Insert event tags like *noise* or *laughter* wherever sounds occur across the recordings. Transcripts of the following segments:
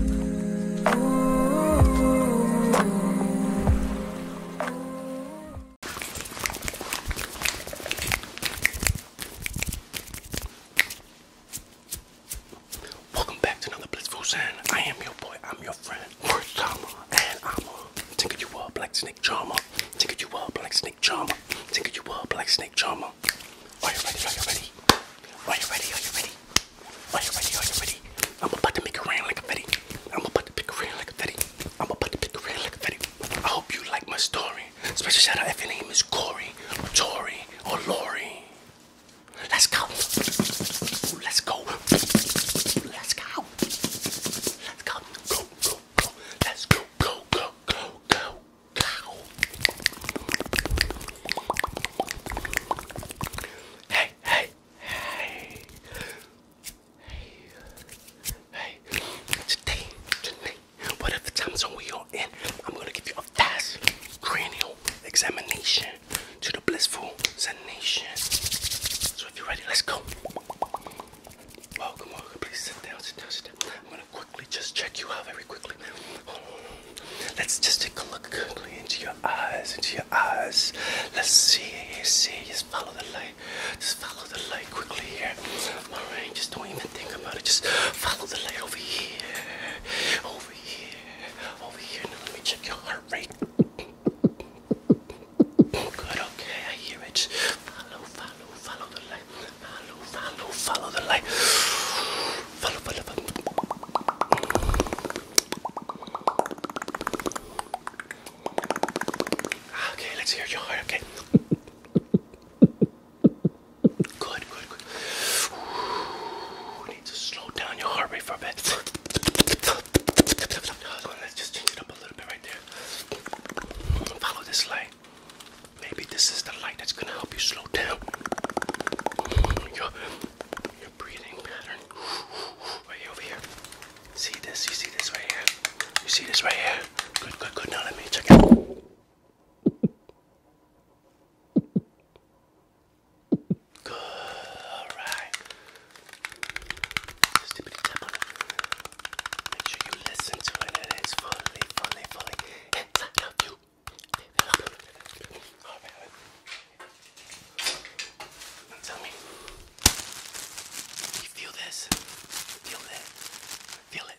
Welcome back to another Blissful Sand. I am your boy, I'm your friend, Worth and I'm a tinkle you up like snake charmer, tinkle you up like snake charmer, tinkle you up like snake charmer. Are you ready? Are you ready? Are you ready? Are you ready? Are you ready? Are you ready? I'm about to make it rain like a fetty. I'm about to pick a rain like a fetty. I'm about to pick a rain like a fetty. I hope you like my story. Special shout out if your name is Corey, or Tori, or Lori. Let's go. Let's go. Let's go. Let's go. Go, go, go. Let's go, go, go, go, go, go. Hey, hey, hey. Hey, hey. Today, today, whatever time zone we are in, I'm gonna give you a fast cranial examination to the blissful sensation. So if you're ready, let's go. welcome. Please sit down, sit down, sit down. I'm gonna quickly just check you out very quickly. Let's just take a look into your eyes, into your eyes. Let's see, see, just follow the light. Just follow the light quickly here. Alright, just don't even think about it. Just follow the light over here. Over here. Over here. Now let me check your heart rate. Good, okay, I hear it. Follow, follow, follow the light follow, follow the light. Follow, follow, follow. Ah, okay, let's hear your heart, okay? Good, good, good. need to slow down your heart rate for a bit. Follow this light. Maybe this is the light that's gonna help you slow down *sighs* your, your breathing pattern. Right over here. See this? You see this right here? You see this right here? Good, good, good. Now let me check Good. All right. Make sure you listen to it. It is fully, fully, fully inside of you. Tell me. You feel this? Feel that? Feel it.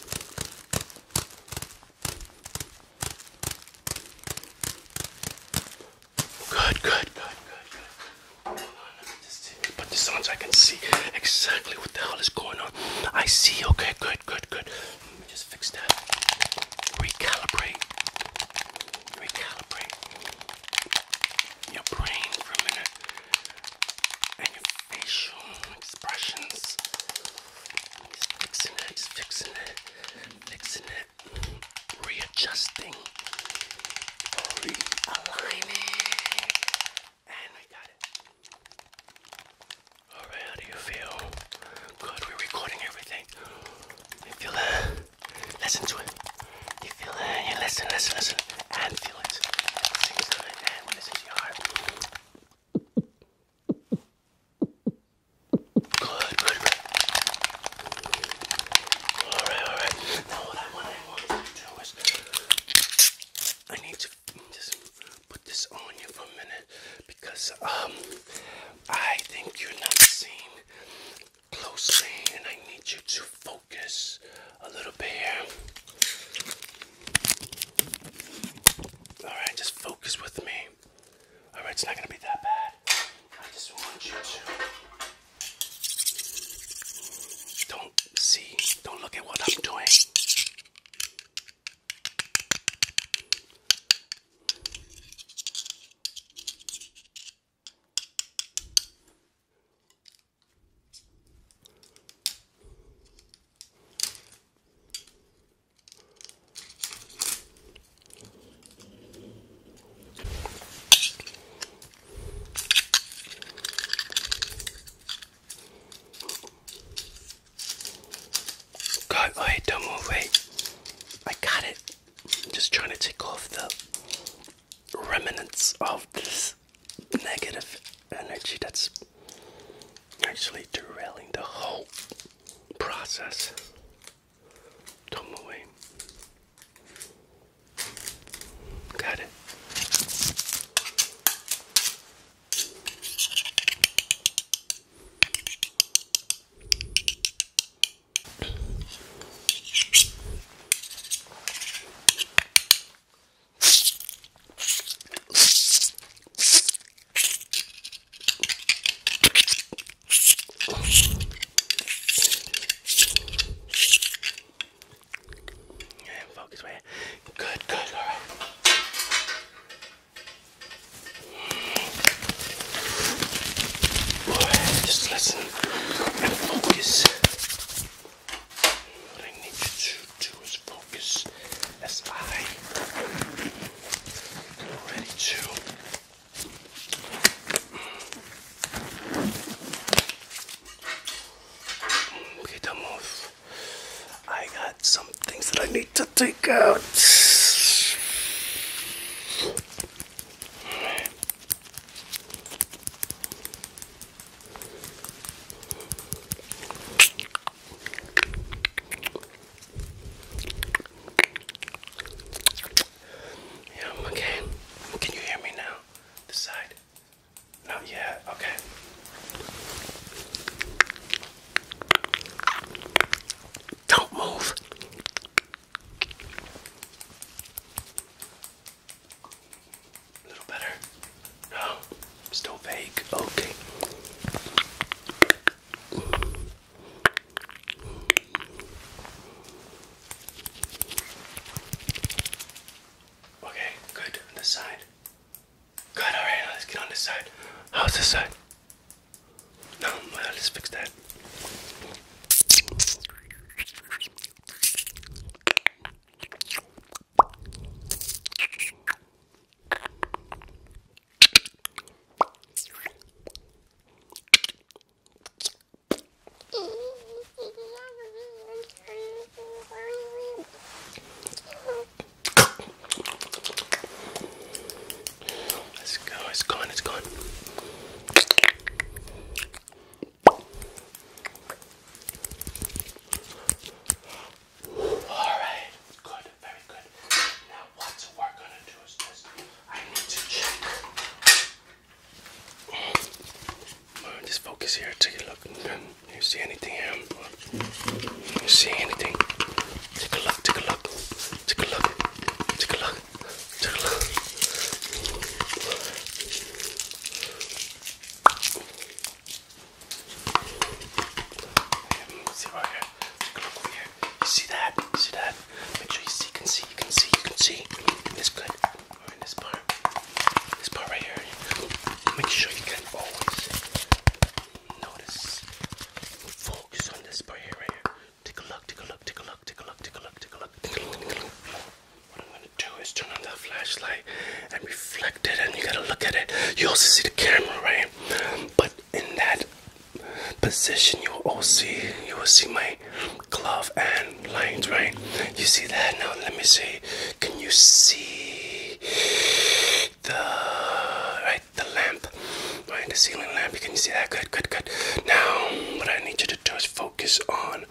Good, good, good, good, good. Hold on, let me just put this on so I can see exactly what the hell is going on. I see, okay, good, good, good. Let me just fix that. Recalibrate. Recalibrate your brain for a minute and your facial expressions. He's fixing it, he's fixing it, fixing it, readjusting, realigning, and we got it. Alright, do you feel? Good, we're recording everything. You feel that? Listen to it. You feel that? You listen, listen, listen, and feel it. At the and when it's Good, good, Alright, alright. Now I, what I want to do is I need to just put this on you for a minute because um I think you're not seeing closely and I need you to focus focus a little bit here. Alright, just focus with me. Alright, it's not gonna be that bad. I just want you to don't see, don't look at what I'm doing. Go away, don't move away. I got it. I'm just trying to take off the remnants of this negative energy that's actually derailing the whole process. do away. Got it. Yeah, focus way. Good, good, all right. All right, just listen and focus. What I need you to do is focus as I am ready to mm. okay, them off. I got some things that I need to take out. Yeah, okay. Can you hear me now? This side? Not yet. Okay. Don't move. A little better? No, still fake. Okay. Okay, good. this side. Good, alright, let's get on this side. How's this side? No, well, let's fix that. Let's go, it's gone, it's gone. Alright, good, very good. Now, what we're gonna do is this I need to check. Oh, just focus here, take a look. Do you see anything here? You see anything? Take a look, take a look, take a look, take a look see if I can take a look for you. You see that? You see that? Make sure you see, can see, you can see, you can see. This good. Or in this part. This part right here. Make sure you can always notice. Focus on this part here right here. Take a look, take a look, take a look take a look, take a look, take a look, What I'm gonna do is turn on that flashlight and reflect it, and you gotta look at it. You also see the camera, right? But in that position, you will also see you will see my glove and lines, right? You see that now? Let me see. Can you see the right the lamp, right? The ceiling lamp. Can you see that? Good, good, good. Now, what I need you to do is focus on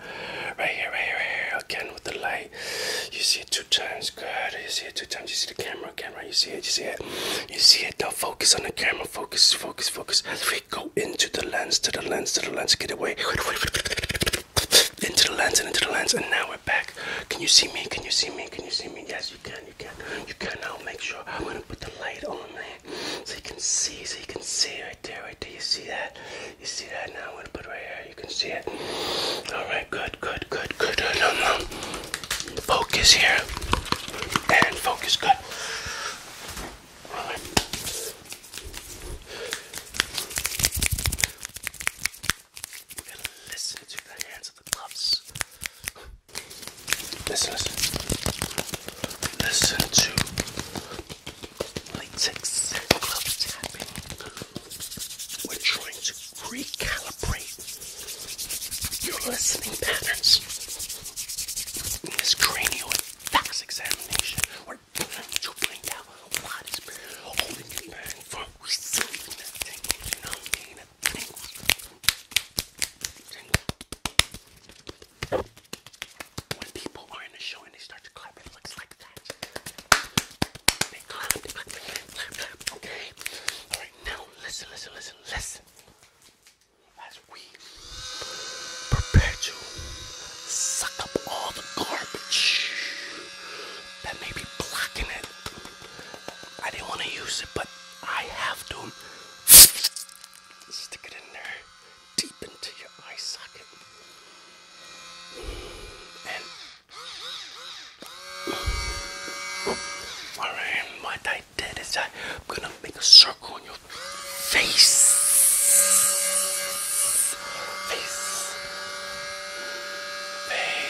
right here, right here, right here. Again with the light. You see it two times. Good. You see it two times. You see the camera, camera. You see it. You see it. You see it. Now focus on the camera. Focus, focus, focus. Three. Go into the lens, to the lens, to the lens. Get away. Into the lens and into the lens. And now we're back. Can you see me? Can you see me? Can you see me? Yes, you can. You can. You can. Now make sure I'm gonna put the light on there. So you can see, so you can see right there, right there. You see that? You see that? Now I'm gonna put it right here. You can see it. Alright, good, good, good, good. No, no. Focus here. And focus, good. Alright. We're gonna listen to the hands of the gloves. Listen, listen. to latex glove tapping. We're trying to recalibrate your listening patterns. In this cranial and fax examination, we're trying to find out what is holding you back from receiving that tingle. You when people are in the show and they start to clap, it looks like that. They clap, clap, clap, clap, Okay. All right. Now listen, listen, listen, listen. As we prepare to suck up all the garbage that may be blocking it, I didn't want to use it, but I have to stick it in there deep into your eye socket. And alright, what I did is I'm gonna make a circle on your face. Face. Face.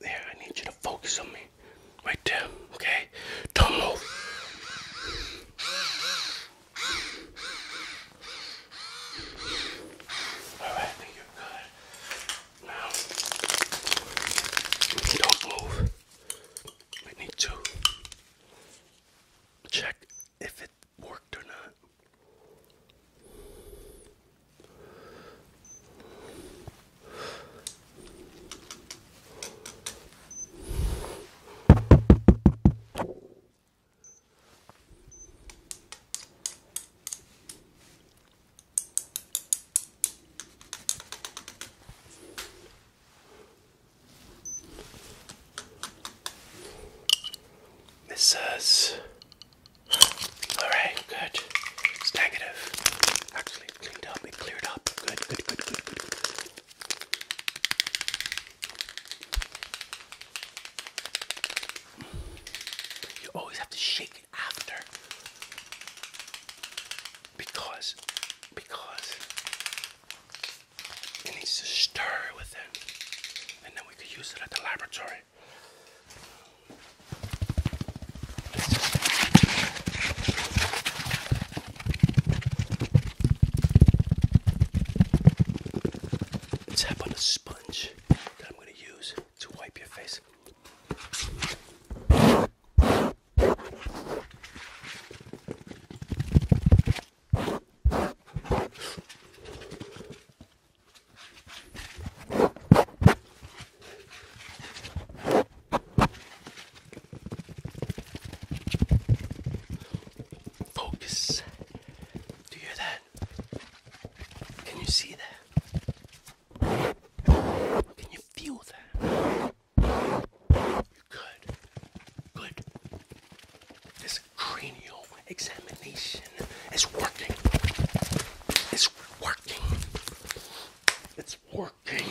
There, I need you to focus on me. Right there, okay? Don't move. All right, you're good. Now, don't move. I need to check if it worked or not. This says, alright, good. It's negative. Actually, cleaned up, it cleared up. Good, good, good, good, good. You always have to shake it after because, because it needs to stir with it, and then we could use it at the laboratory. Tap on the sponge that I'm going to use to wipe your face. Focus. Do you hear that? Can you see that? Can you feel that? You're good. Good. This cranial examination is working. It's working. It's working.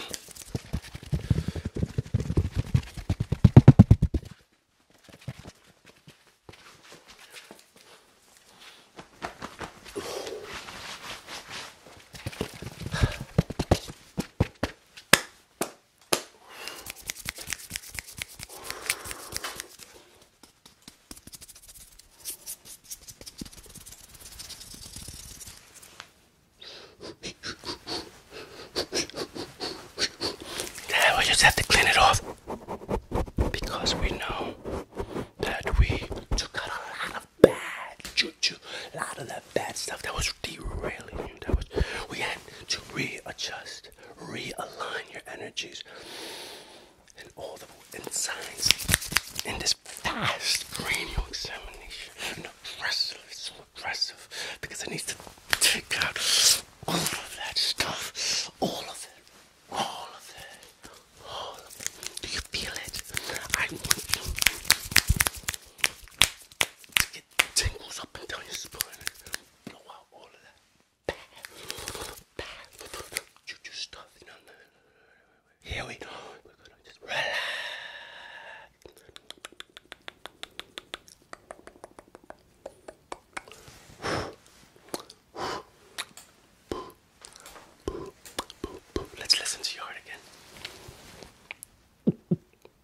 Then we just have to clean it off because we know that we took out a lot of bad juju, a lot of that bad stuff that was derailing you. That was we had to readjust, realign your energies, and all the insights in this fast brain examination. And aggressive, so aggressive, because it needs to take out all of that stuff, all of it. All of it. All of it. Do you feel it? I want you to tingles up and down your spine here we go. We're gonna just relax. Let's listen to your heart again.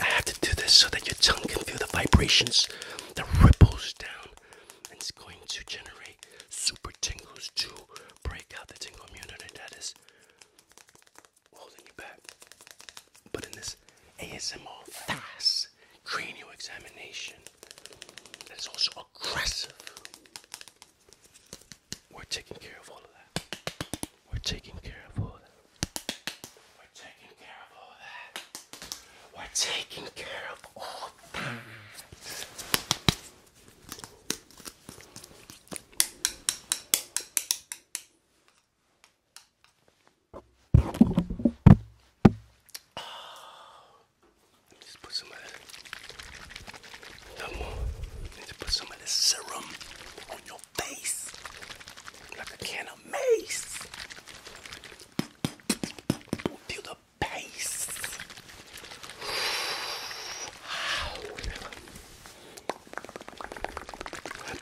I have to do this so that your tongue can feel the vibrations, that ripples down. And it's going to generate super tingles to break out the tingle immunity that is holding you back. But in this ASMO fast cranial examination that is also aggressive, we're taking care of all of that. We're taking care of all of that. We're taking care of all of that. We're taking care of all that. Oh, just put some of that. No more. Need to put some of this serum on your face. Like a can of mace. Feel the pace.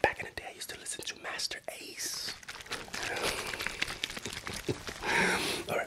Back in the day, I used to listen to Master Ace. *laughs* All right.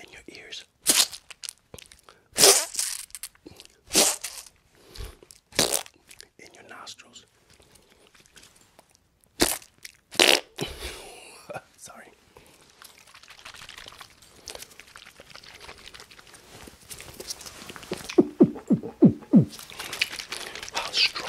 and your ears. In your nostrils. *laughs* Sorry. How strong.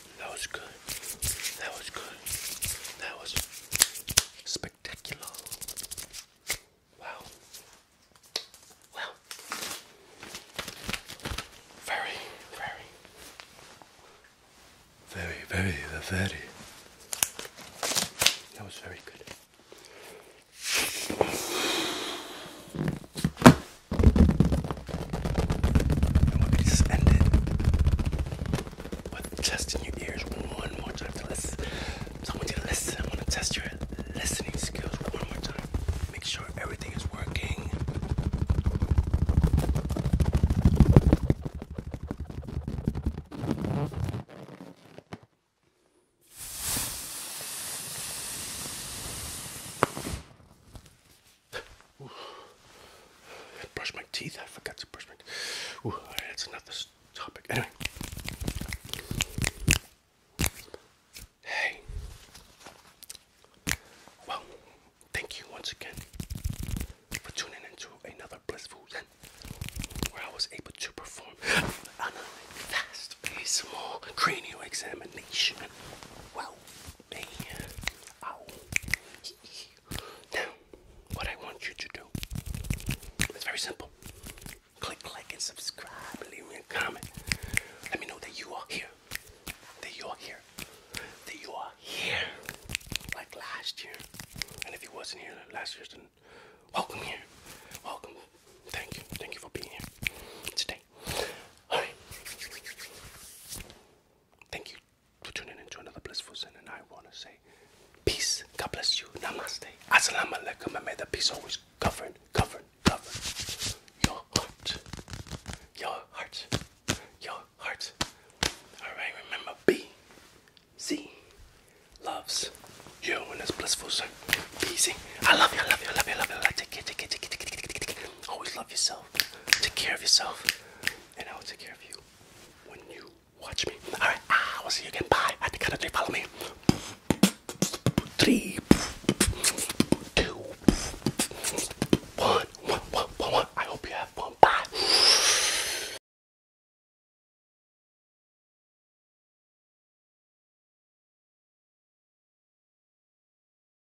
That was good. That was good. That was spectacular. Wow. Wow. Very, very, very, very, very. That was very good. And we just end it with just in your ears one more time to listen. So I want you to listen. I want to test your listening skills one more time. Make sure everything is working. Brush my teeth. I forgot to brush my teeth. Ooh, that's another topic. Anyway. Hey. Well, thank you once again for tuning into another blissful Zen where I was able to perform another fast, very small cranial examination. Wow me. Now, what I want you to do is very simple. Click like and subscribe. Leave me a comment. Let me know that you are here. That you are here. That you are here. Like last year. And if you wasn't here last year, then welcome here. Welcome. Thank you. Thank you for being here today. Alright. Thank you for tuning into another Blissful Sin, and I want to say peace. God bless you. Namaste. Assalamu alaikum. And may the peace always govern, govern, govern your heart. Your heart. Your heart. Alright, remember B. Z. Loves you and it's blissful. So love you. I love you. I love you. I love you. I love you. Always love yourself. Take care of yourself, and I will take care of you when you watch me. All right, I ah, will see you again. Bye. At the count of three, follow me. Three, two, one, one, one, one, one. I hope you have fun. Bye.